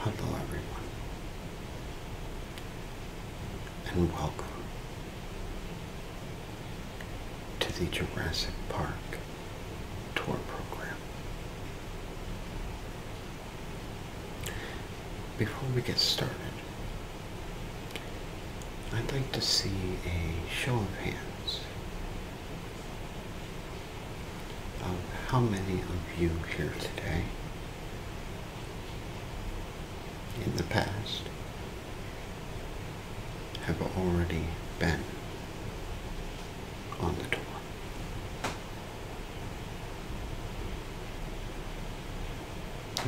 Hello, everyone, and welcome to the Jurassic Park tour program. Before we get started, I'd like to see a show of hands um, how many of you here today, in the past, have already been on the tour?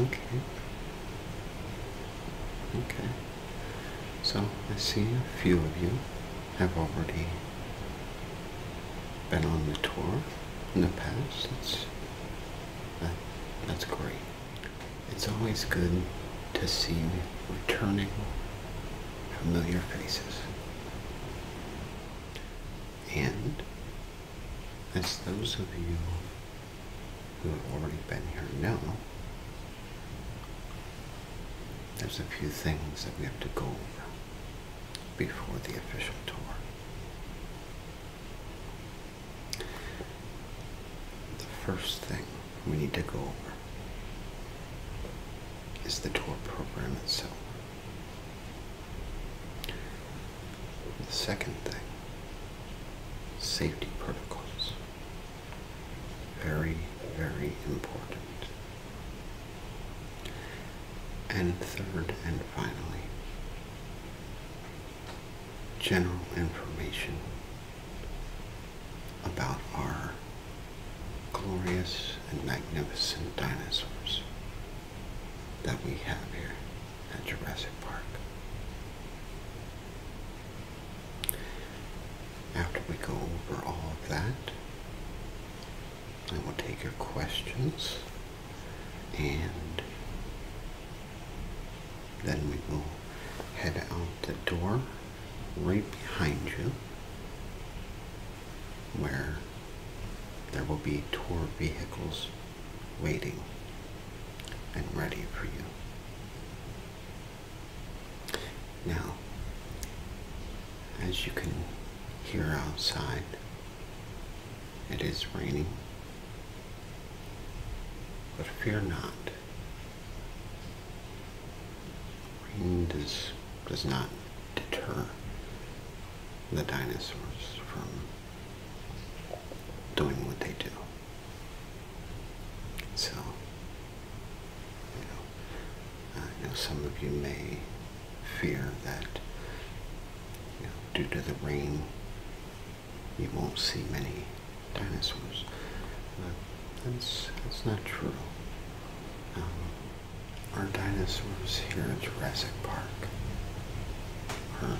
Okay. Okay. So I see a few of you have already been on the tour in the past. That's, that's great. It's always good to see returning familiar faces. And as those of you who have already been here know, there's a few things that we have to go over before the official tour. The first thing we need to go over is the tour program itself. The second thing, safety protocols. Very, very important. And third and finally, general information about our glorious and magnificent dinosaurs that we have here at Jurassic Park. After we go over all of that, I will take your questions and then we will head out the door right behind you where there will be tour vehicles waiting and ready for you. Now, as you can hear outside, it is raining. But fear not. Rain does, does not deter the dinosaurs from doing what they do. So, you know, I uh, know some of you may fear that due to the rain, you won't see many dinosaurs. But that's, that's not true. Um, our dinosaurs here at Jurassic Park are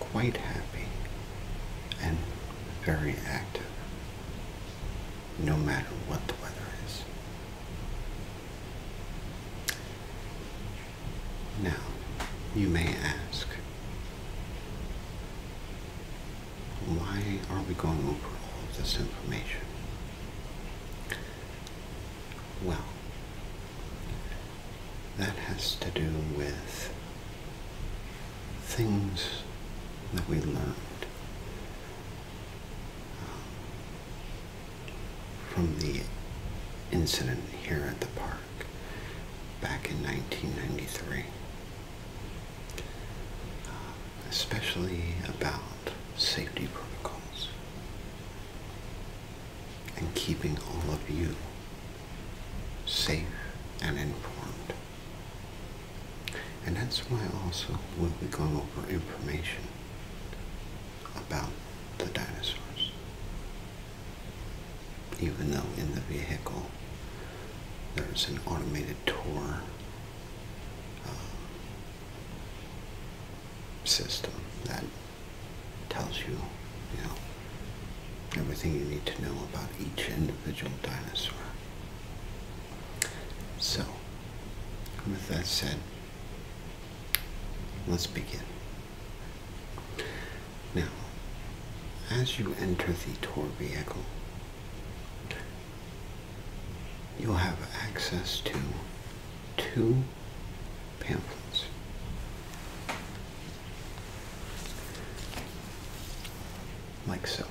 quite happy and very active no matter what the weather is. Now, you may ask, why are we going over all of this information? Well, that has to do with things that we learned um, from the incident here at the park back in 1993. Uh, especially about safety protocols and keeping all of you safe and informed. And that's why also when we'll going over information about the dinosaurs. Even though in the vehicle there's an automated tour uh, system that tells you, you know, everything you need to know about each individual dinosaur. So, with that said, let's begin. Now, as you enter the tour vehicle, you'll have access to two pamphlets. Like so.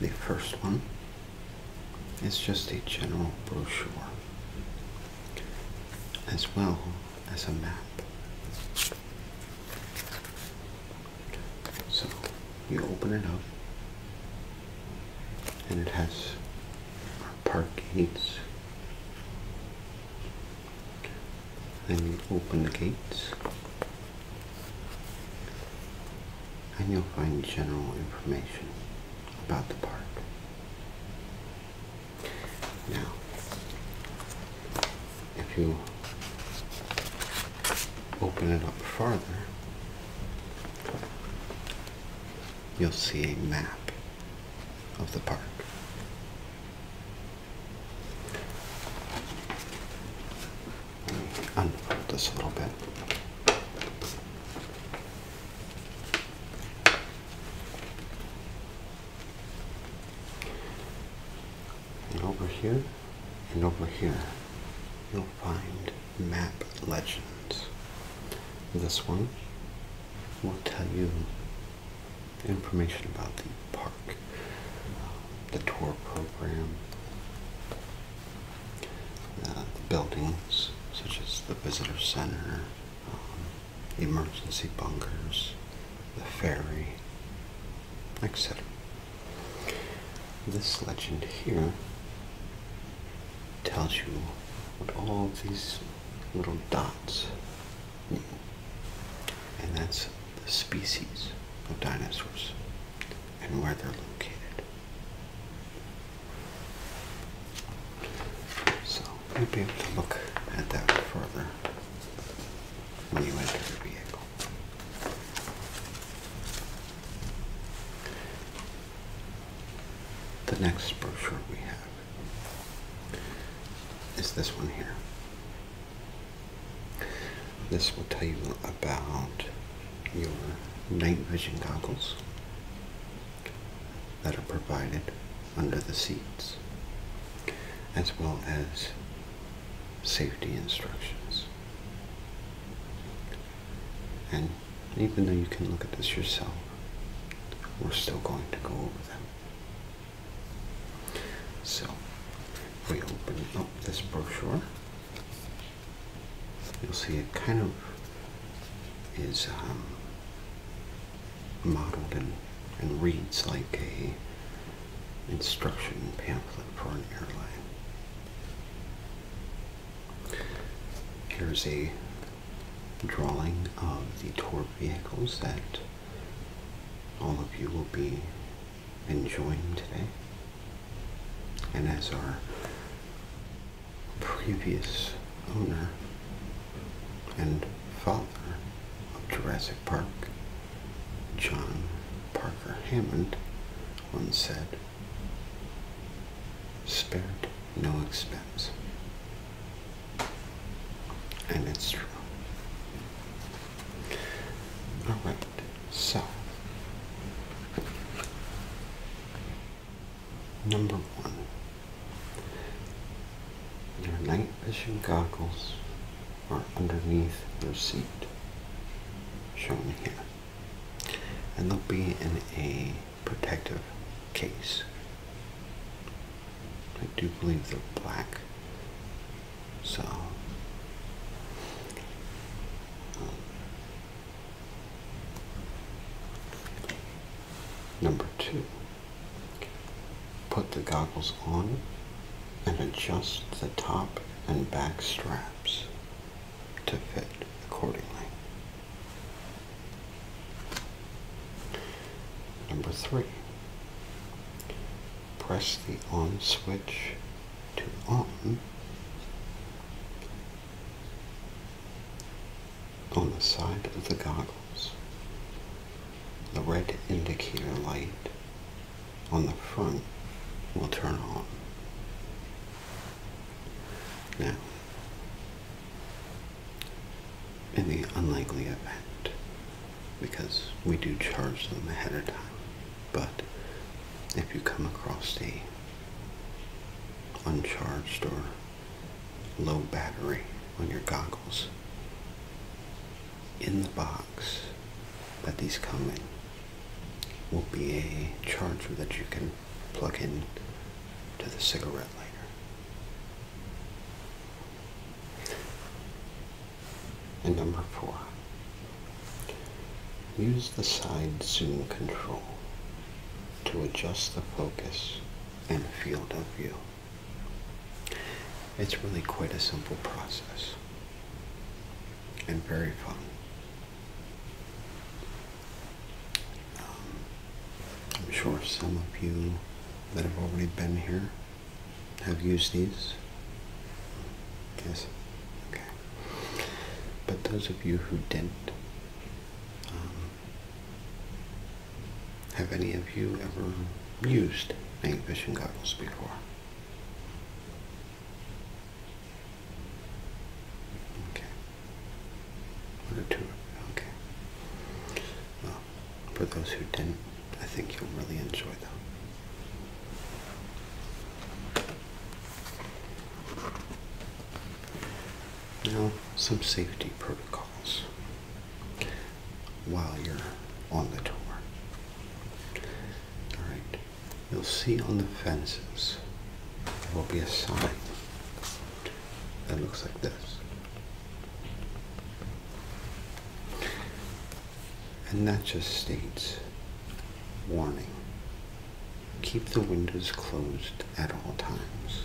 The first one is just a general brochure as well as a map. So you open it up and it has our park gates. Then you open the gates and you'll find general information about the park. Now, if you open it up farther, you'll see a map of the park. Unfold this a little bit. And over here and over here, you'll find map legends. This one will tell you information about the park the tour program, uh, the buildings such as the visitor center, um, emergency bunkers, the ferry, etc. This legend here tells you what all these little dots mean. And that's the species of dinosaurs and where they're located. So we will be able to look at that further when we enter the vehicle. The next brochure we have is this one here. This will tell you about your night vision goggles that are provided under the seats, as well as safety instructions. And even though you can look at this yourself, we're still going to go over them. So, we open up this brochure. You'll see it kind of is um, modeled and, and reads like a instruction pamphlet for an airline. Here's a drawing of the tour vehicles that all of you will be enjoying today. And as our previous owner and father of Jurassic Park, John Parker Hammond, once said, spared no expense. And it's true. All right, so number one, your night vision goggles are underneath your seat, shown here, and they'll be in a protective case. I do believe they're black. So, um, number two, put the goggles on and adjust the top and back straps to fit accordingly. Number three, press the on switch to on on the side of the goggles. The red indicator light on the front will turn on. Now, in the unlikely event, because we do charge them ahead of time, but if you come across a uncharged or low battery on your goggles, in the box that these come in will be a charger that you can plug in to the cigarette lighter. And number four, use the side zoom control to adjust the focus and field of view. It's really quite a simple process and very fun. Um, I'm sure some of you that have already been here have used these Yes. Okay. But those of you who didn't, um, have any of you ever used night vision goggles before? Okay. One two. Okay. Well, for those who didn't, I think you'll really enjoy them. Now, some safety protocols while you're on the tour. Alright, you'll see on the fences there will be a sign that looks like this. And that just states warning. Keep the windows closed at all times.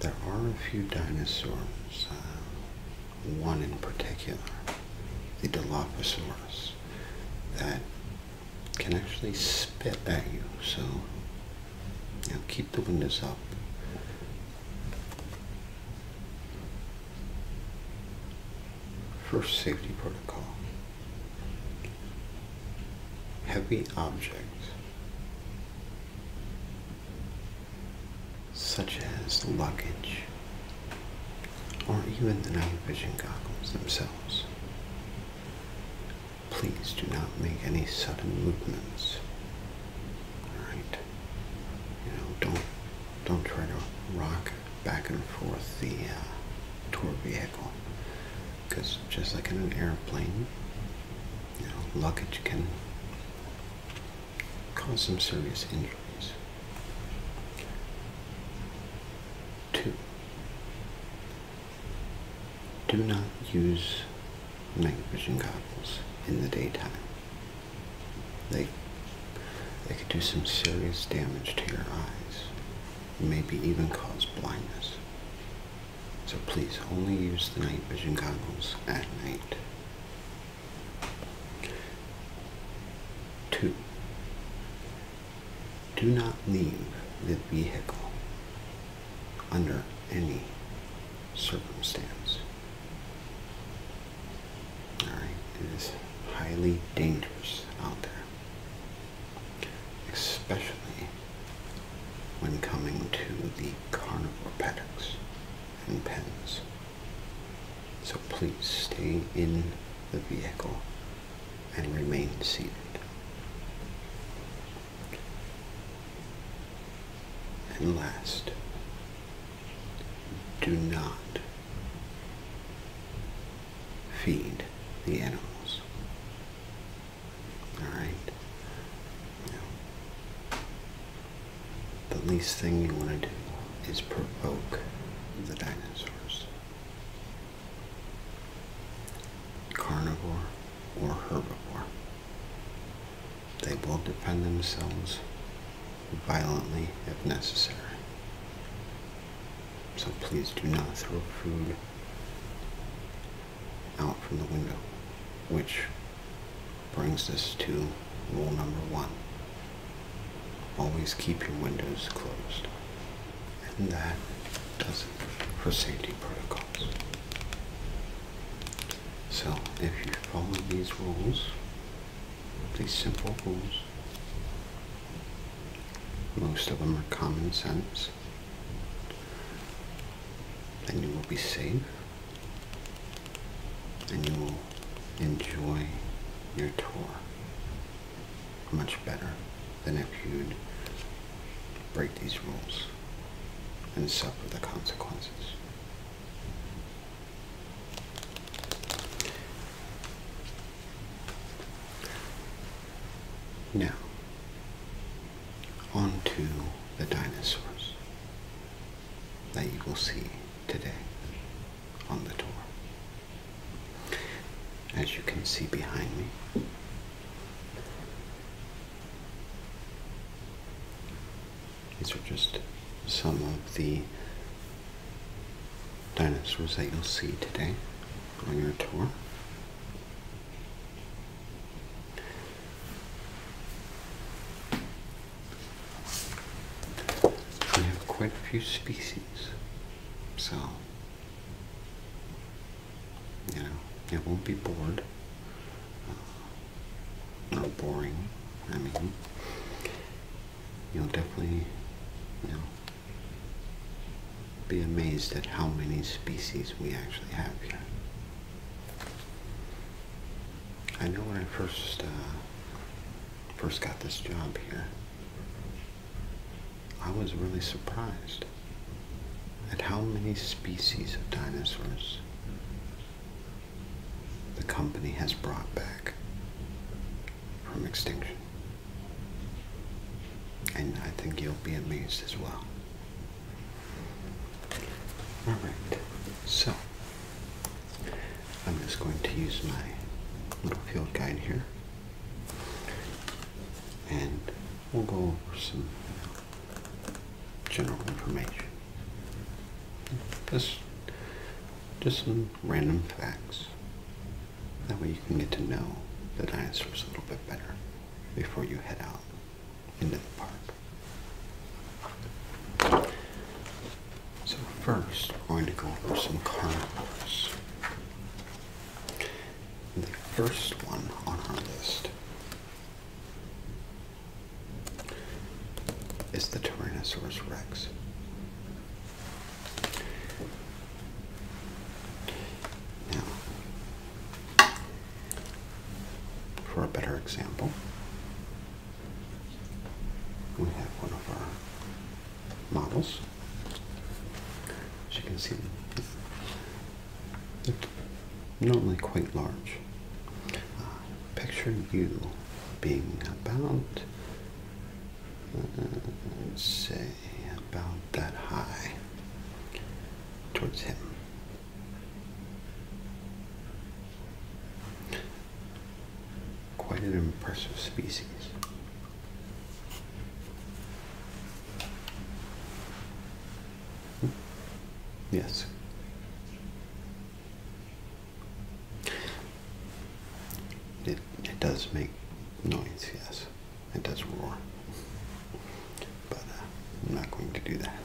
There are a few dinosaurs, uh, one in particular, the Dilophosaurus, that can actually spit at you. So keep the windows up. First safety protocol. Heavy objects, such as luggage, or even the night vision goggles themselves. Please do not make any sudden movements. Alright? You know, don't don't try to rock back and forth the uh, tour vehicle because just like in an airplane you know luggage can cause some serious injuries two do not use night vision goggles in the daytime they they could do some serious damage to your eyes, maybe even cause blindness. So please only use the night vision goggles at night. Two. Do not leave the vehicle under any circumstance it is highly dangerous out there, especially when coming to the carnivore paddocks and pens. So please stay in the vehicle and remain seated. And last, do not feed the animals. Alright? the least thing you want to do is provoke the dinosaurs. Carnivore or herbivore. They will defend themselves violently if necessary. So please do not throw food out from the window, which brings us to rule number one. Always keep your windows closed. And that does it for safety protocols. So if you follow these rules, these simple rules, most of them are common sense. Then you will be safe and you will enjoy your tour much better than if you'd break these rules and suffer the consequences. Now, on to the dinosaurs that you will see today on the tour. As you can see behind me, these are just some of the dinosaurs that you'll see today on your tour. We have quite a few species, so you know, you won't be bored. Uh, not boring, I mean. You'll definitely, you know, be amazed at how many species we actually have here. I know when I first uh, first got this job here, I was really surprised at how many species of dinosaurs the company has brought back from extinction. And I think you'll be amazed as well. Alright, so I'm just going to use my little field guide here. And we'll go over some general information. Just, just some random facts. That way you can get to know the dinosaurs a little bit better before you head out into the park. So first, we're going to go over some carnivores. The first one on our list is the Tyrannosaurus rex for a better example, we have one of our models. As you can see, they're normally quite large. Uh, picture you being about let's say about that high towards him. Quite an impressive species. Hmm. Yes. It, it does make noise, yes. It does roar. But uh, I'm not going to do that.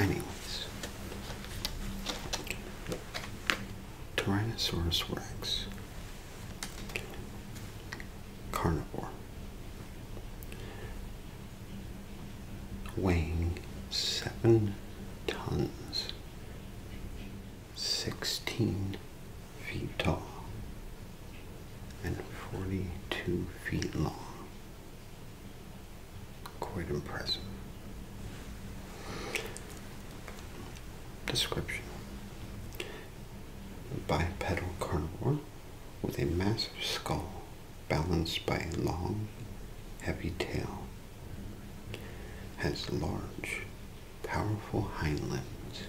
Anyways, Tyrannosaurus rex, carnivore, weighing seven tons, 16 feet tall, and 42 feet long. Quite impressive. Description Bipedal carnivore with a massive skull balanced by a long, heavy tail, has large, powerful hind limbs,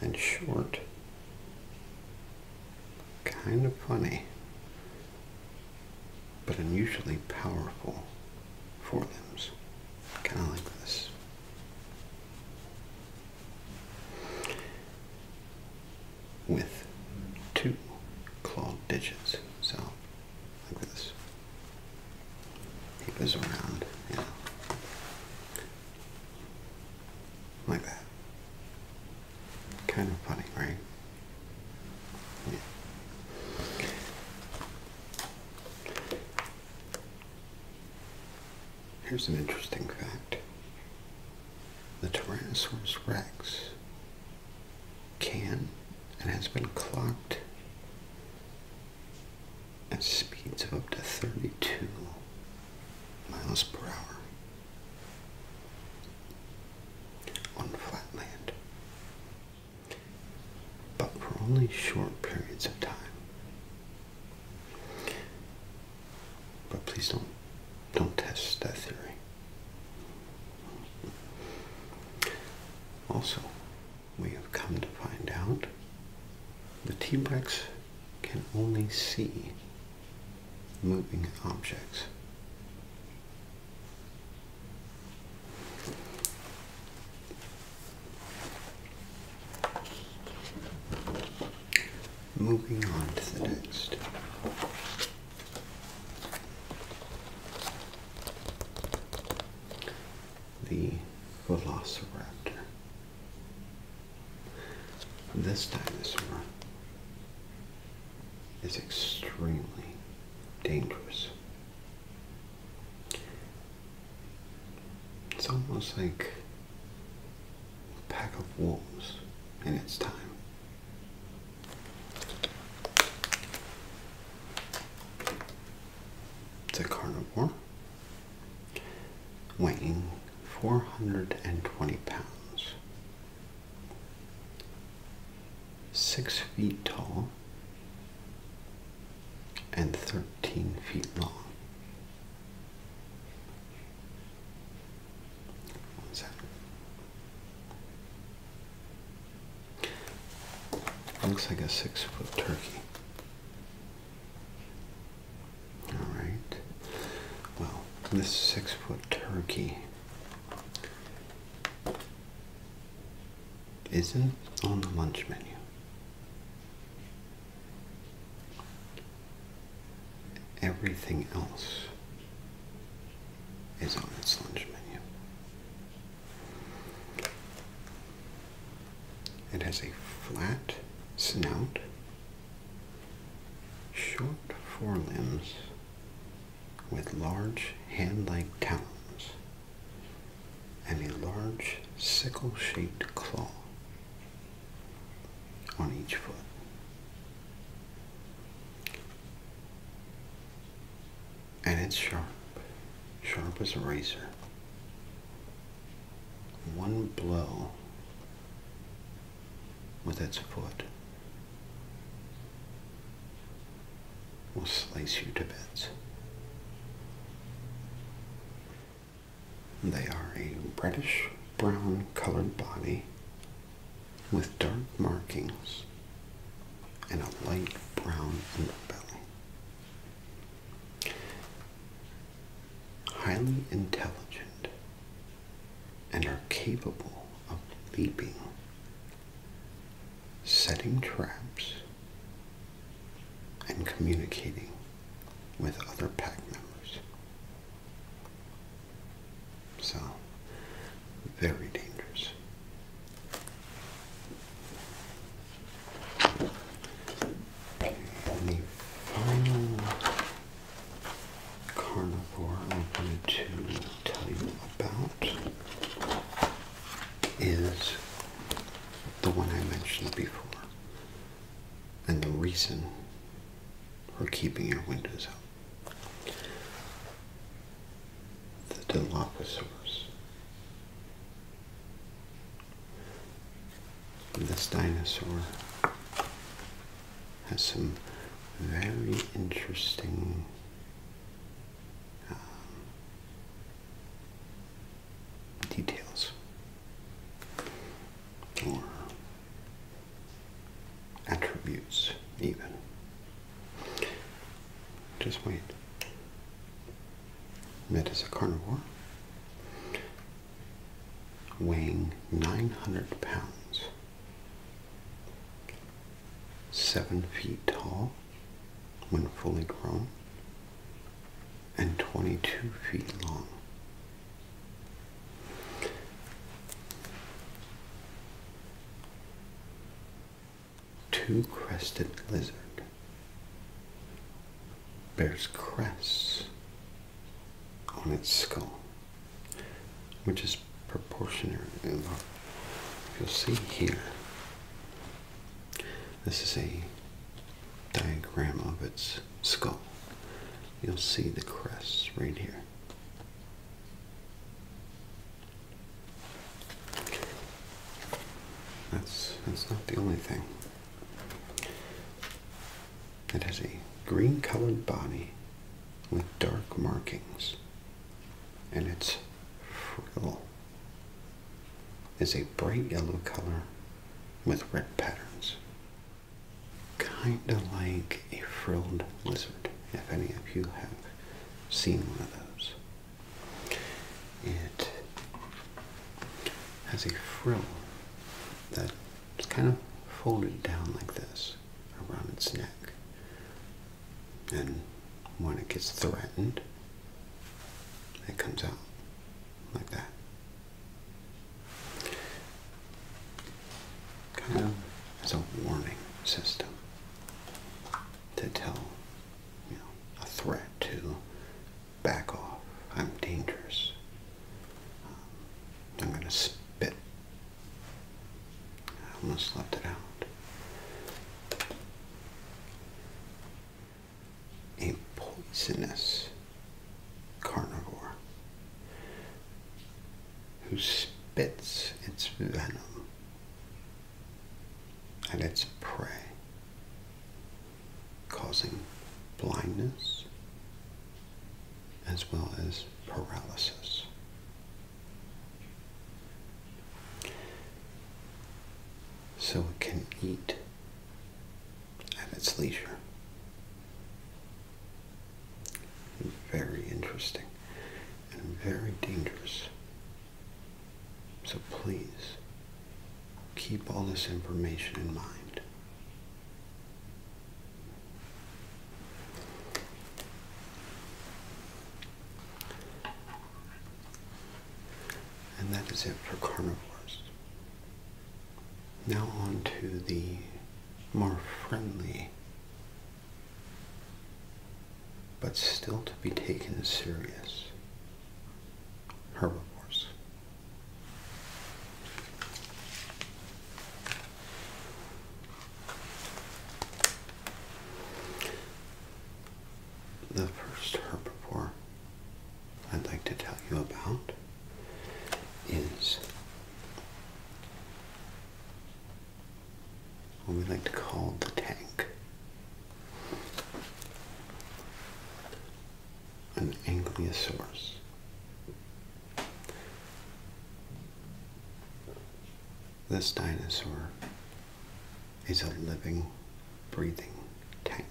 and short, kind of funny, but unusually powerful forelimbs, kind of like this with two clawed digits. So look this. He goes around, you like that. Kind of funny, right? Here's an interesting fact the Tyrannosaurus rex can and has been clocked at speeds of up to 32 miles per hour on flatland, but for only short periods of time. But please don't don't test that theory. Also, we have come to find out the T-Rex can only see moving objects. Moving on to the next. The Velociraptor. This dinosaur is extremely dangerous. It's almost like pack of wolves and its time. It's a carnivore weighing 420 pounds, six feet tall, and 13 feet long. One second. Looks like a six foot turkey. Alright. Well, this six foot turkey isn't on the lunch menu. Everything else is on its lunch menu. It has a flat snout, short forelimbs with large hand-like talons, and a large sickle-shaped claw on each foot. And it's sharp, sharp as a razor. One blow with its foot will slice you to bits. They are a reddish brown colored body with dark markings and a light brown underbelly. Highly intelligent and are capable of leaping, setting traps, and communicating with other pack members. So, very dangerous. Okay, the final carnivore I am going to tell you about is the one I mentioned before, and the reason for keeping your windows open the Dilophosaurus. This dinosaur has some very interesting um, details or attributes, even. Just wait. Mid a carnivore, weighing 900 pounds, seven feet tall when fully grown, and 22 feet long. Two-crested lizard bears crests on its skull, which is proportionate. You'll see here. This is a diagram of its skull. You'll see the crests right here. That's that's not the only thing. It has a green colored body with dark markings, and its frill is a bright yellow color with red patterns kind of like a frilled lizard, if any of you have seen one of those. It has a frill that is kind of folded down like this around its neck. And when it gets threatened, it comes out like that kind of as a warning system to tell you know a threat to back off. I'm dangerous. Um, I'm going to spit. I almost left it out. A poisonous carnivore who spits its venom at its prey, causing blindness as well as paralysis. So it can eat at its leisure. Very interesting and very dangerous. So please keep all this information in mind. And that is it for carnivores. Now on to the more friendly but still to be taken serious herbivores. The first herbivore I'd like to tell you about is what we like to call the tank. An ankylosaurus. This dinosaur is a living, breathing tank.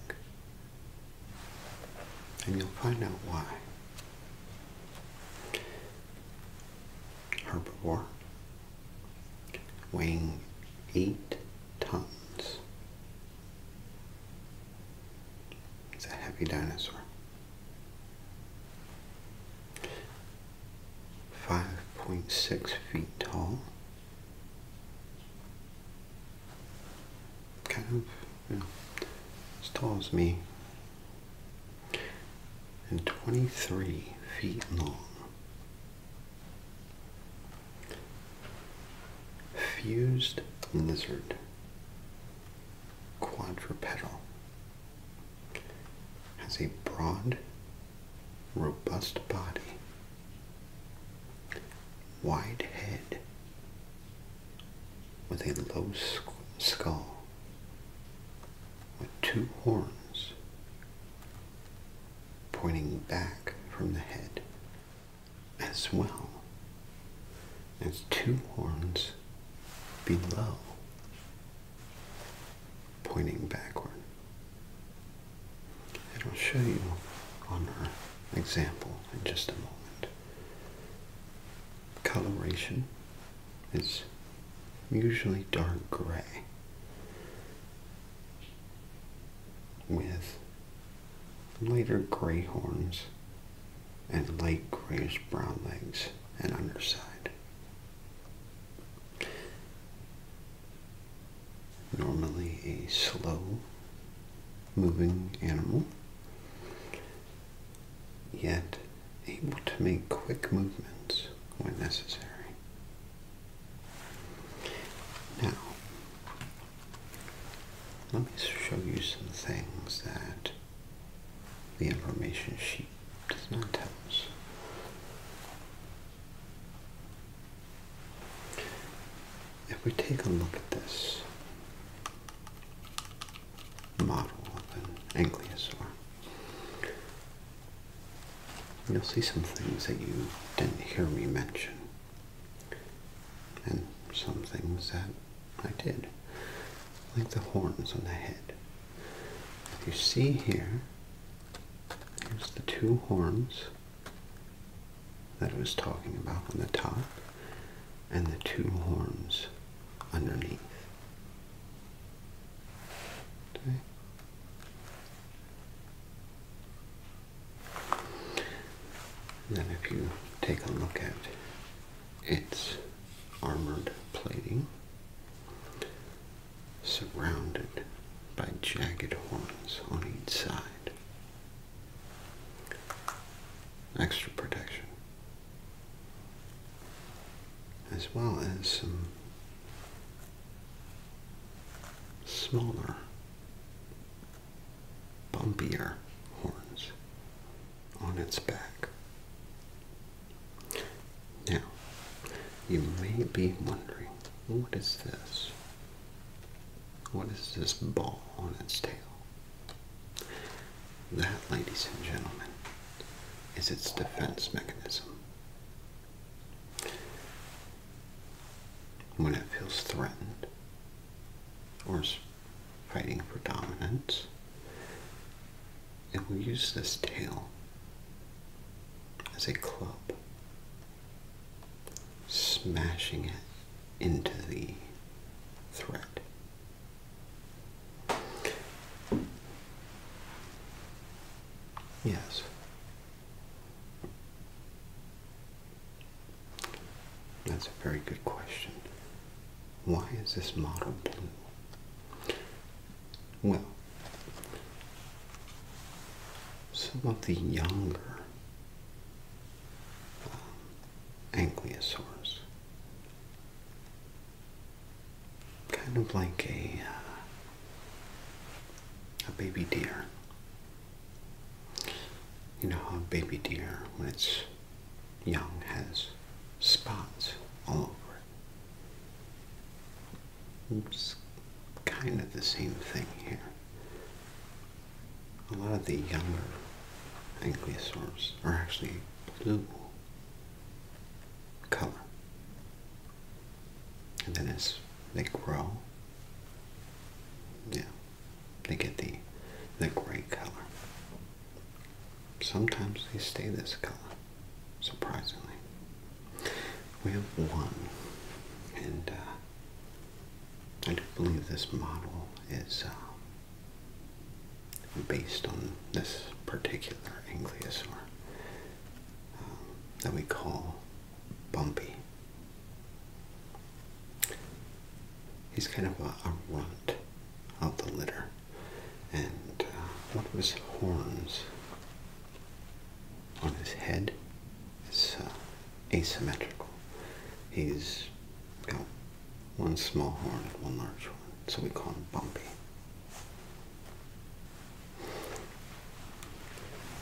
And you'll find out why herbivore, weighing eight tons. It's a heavy dinosaur. 5.6 feet tall. Kind of, you know, as tall as me and 23 feet long. Fused lizard, quadrupedal, has a broad, robust body, wide head, with a low skull with two horns pointing back from the head as well as two horns below pointing backward. I'll show you on our example in just a moment. Coloration it's usually dark gray with lighter gray horns and light grayish brown legs and underside. Normally a slow moving animal yet able to make quick movements when necessary. Now, let me show you some things that the information sheet does not tell us. If we take a look at this, model of an ankylosaur. You'll see some things that you didn't hear me mention, and some things that I did, like the horns on the head. If you see here, there's the two horns that I was talking about on the top, and the two horns underneath. And then if you take a look at its armored plating, surrounded by jagged horns on each side. Extra protection as well as some smaller, bumpier horns on its back. Now, you may be wondering, what is this? What is this ball on its tail? That, ladies and gentlemen, is its defense mechanism. When it feels threatened or is fighting for dominance, it will use this tail as a club, smashing it into the threat. Yes. That's a very good question. Why is this model blue? Well, some of the younger um, ankylosaurs kind of like a uh, a baby deer. You know how a baby deer, when it's young, has spots all over it. It's kind of the same thing here. A lot of the younger ankylosaurs are actually blue color. And then as they grow, yeah, they get the the gray color. Sometimes they stay this color, surprisingly. We have one, and uh, I do believe this model is uh, based on this particular ankylosaur. Um, that we call Bumpy. He's kind of a, runt of the litter, and uh, what was horns on his head is uh, asymmetrical. He's got one small horn and one large one, so we call him Bumpy.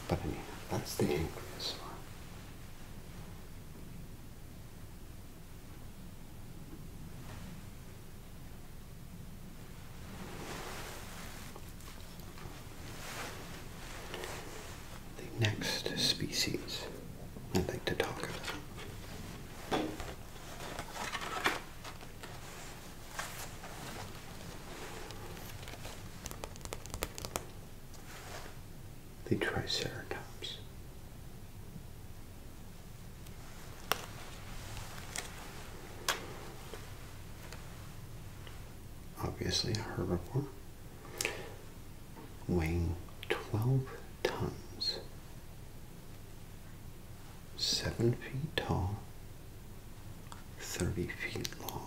But I mean, that's the angriest one. The next species I'd like to talk about the Triceratops. Obviously, herbivore weighing 12 tons seven feet tall, 30 feet long.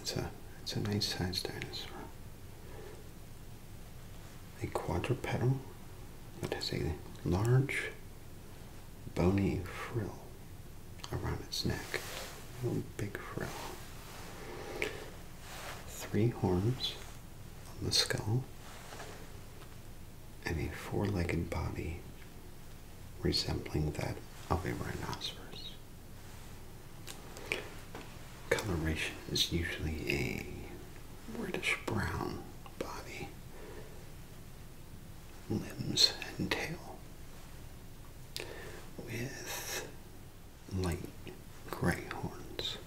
It's a, it's a nice sized dinosaur. A quadrupedal that has a large bony frill around its neck. A big frill. Three horns on the skull and a four-legged body resembling that of a rhinoceros. Coloration is usually a reddish brown body, limbs and tail, with light gray horns.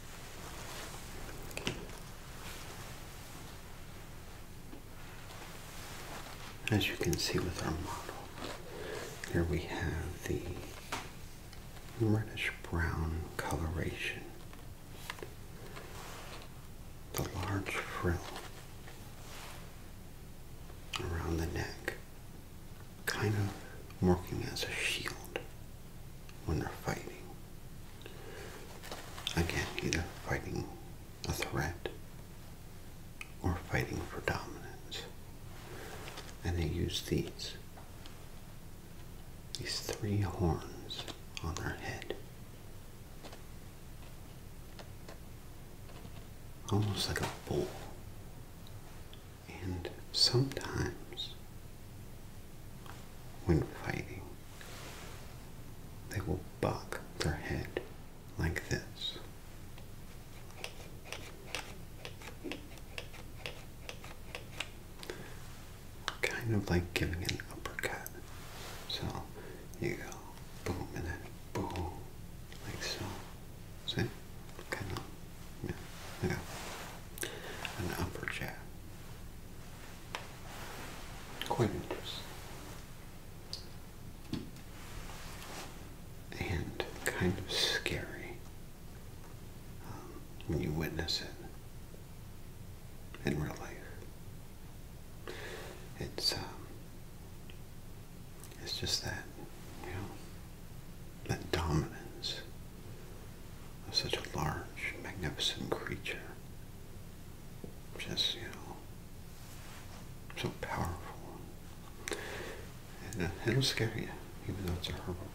As you can see with our model, here we have the reddish brown coloration, the large frill around the neck, kind of working as a shield when they're fighting. Again, either fighting a threat or fighting for dominance. And they use these, these three horns on their head. Almost like a bull. And sometimes when fighting, they will bob their head like this. Kind of like giving an uppercut. So you go boom and then boom, like so. See? Kind of, yeah, an upper Quite interesting. And kind of scary um, when you witness it in real life. It's, um, it's just that, you know, that dominance of such a large, magnificent creature just, you know, so powerful. And uh, it'll scare you, even though it's a herbivore.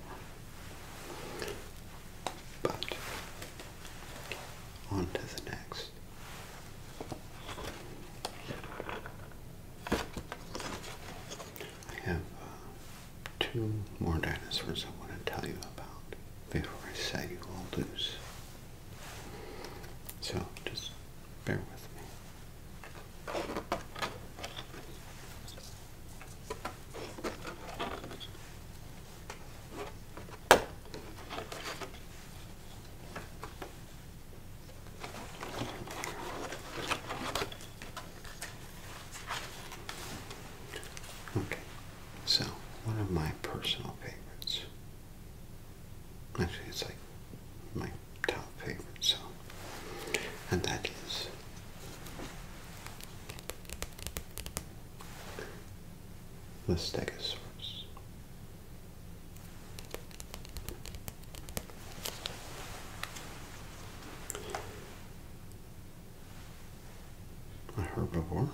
But, on to the next. I have uh, two more dinosaurs I want to tell you about before I say you will lose. So just bear with me. Okay, so, one of my personal favorites. Actually, it's like my top favorite, so. And that is the Stegosaurus a herbivore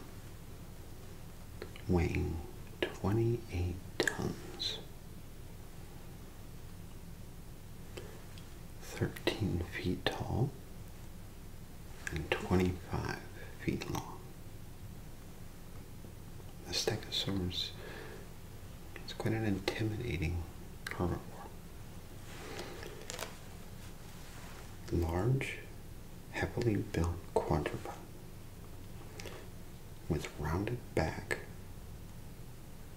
weighing 28 tons, 13 feet tall, and 25 feet long. The stegosaurus its quite an intimidating herbivore. Large heavily built quadruped with rounded back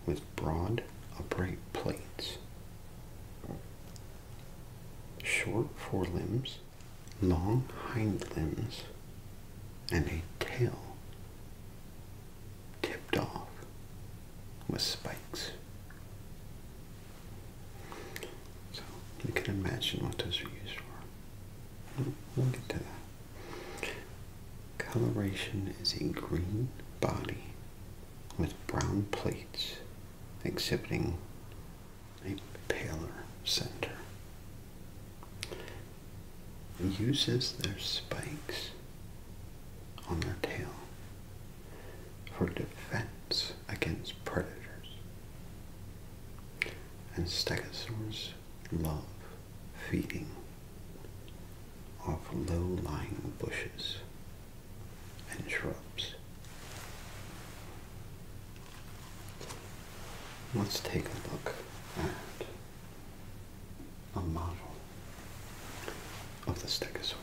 with broad upright plates, short forelimbs, long hind limbs, and a tail tipped off with spikes. So you can imagine what those are used for. We'll get to that. Coloration is a green body with brown plates exhibiting a paler center. Uses their spikes on their tail for defense against predators and stegosaurs love feeding off low-lying bushes and shrubs. Let's take a look at a model of the stegosaur.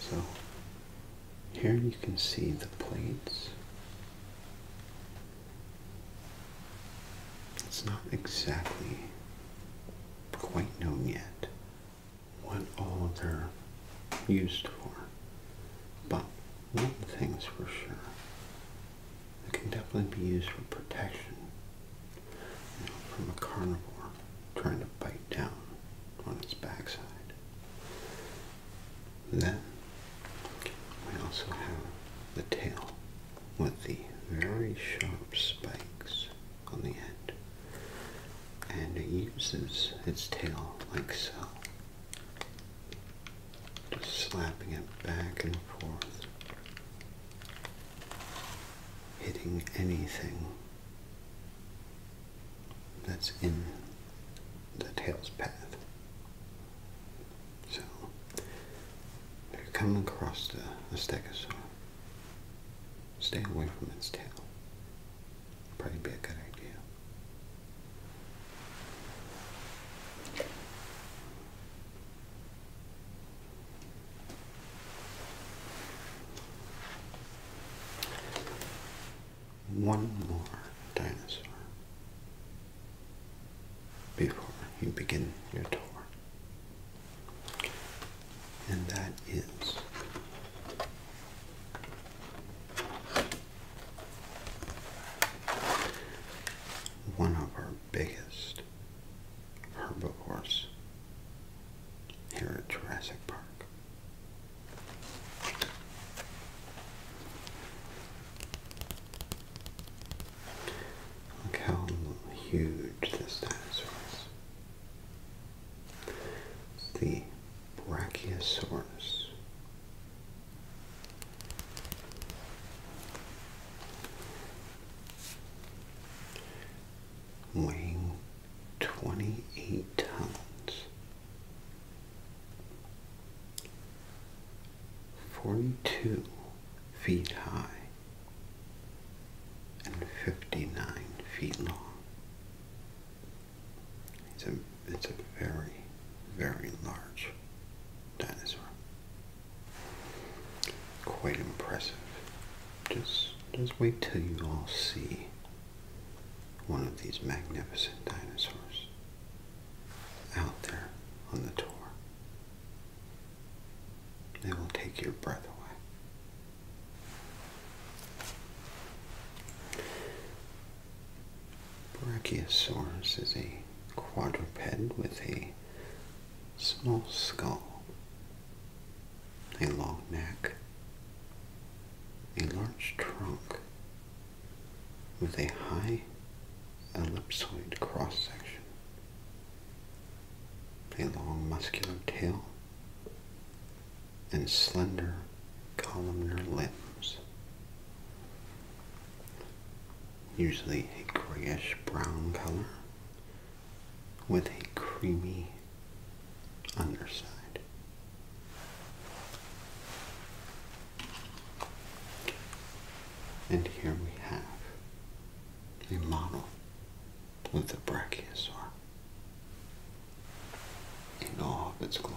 So here you can see the plates. It's not exactly quite known yet what all they're used for, but one thing's for sure. They can definitely be used for protection from a carnivore trying to bite down on its backside. Then we also have the tail with the very sharp spikes on the end. And it uses its tail like so. Just slapping it back and forth. Hitting anything that's in the tail's path. So if you come across the, the stegosaur, stay away from its tail. Probably be a good idea one more dinosaur before you begin your tour. And that is one of our biggest herbivores here at Jurassic Park. Look how huge this dinosaur is. the Brachiosaurus. Weighing 28 tons 42 feet high and 59 feet long. It's a, it's a very, very large dinosaur. Quite impressive. Just, just wait till you all see one of these magnificent dinosaurs out there on the tour. They will take your breath away. Brachiosaurus is a quadruped with a small skull, a long neck, a large trunk with a high ellipsoid cross section, a long muscular tail, and slender columnar limbs. Usually a grayish brown color with a creamy underside. And here we have a model of the brachiosaur in all of its glory.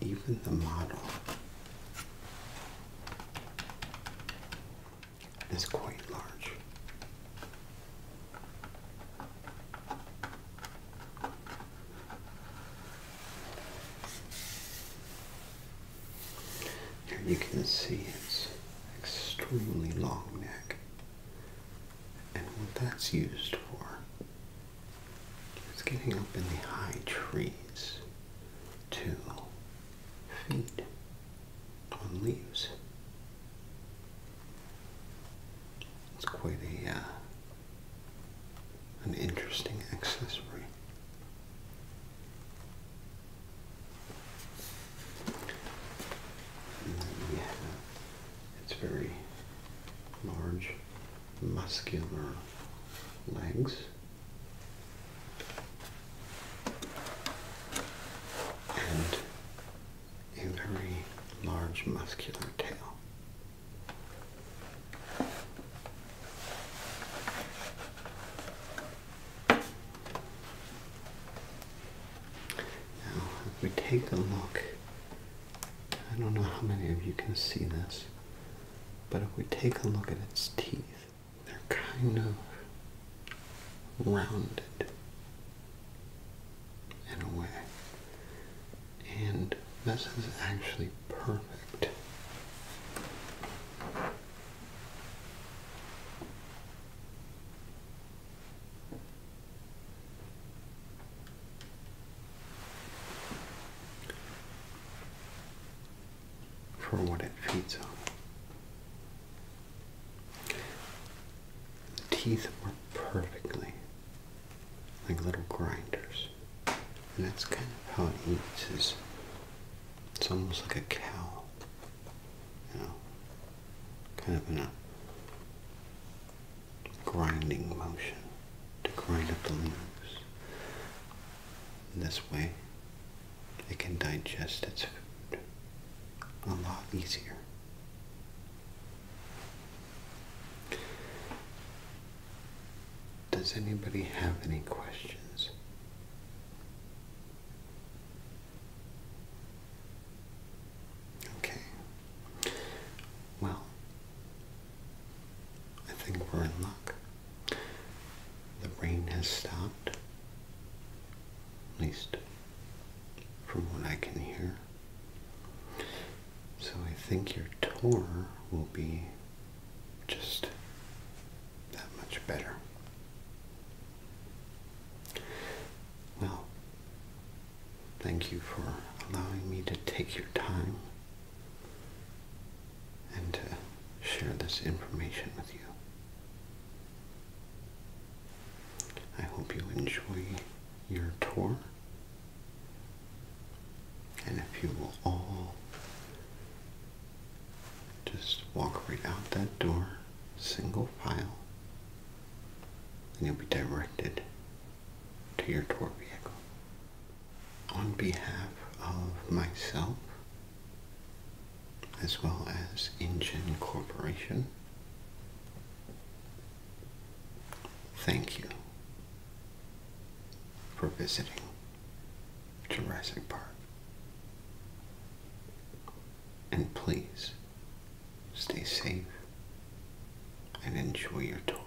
Even the model is quite large. Here you can see its extremely long neck and what that's used for it's getting up in the high trees to feed on leaves. It's quite a uh, an interesting accessory. And its very large muscular legs. And a very large muscular tail. Now, if we take a look, I don't know how many of you can see this, but if we take a look at its teeth, they're kind of rounded in a way. And this is actually perfect. For what it feeds on. The teeth work perfectly, like little grinders. And that's kind of how it eats is it's almost like a cow. You know. Kind of in a grinding motion to grind up the leaves. This way, it can digest its food a lot easier. Does anybody have any questions? Okay. Well, I think we're in luck. The rain has stopped, at least from what I can hear. So I think your tour will be just that much better. Well, thank you for allowing me to take your time and to share this information with you. I hope you enjoy your tour, and if you will all just walk right out that door, single file, and you'll be directed to your tour vehicle on behalf of myself as well as Ingen Corporation. Thank you for visiting Jurassic Park. And please stay safe and enjoy your tour.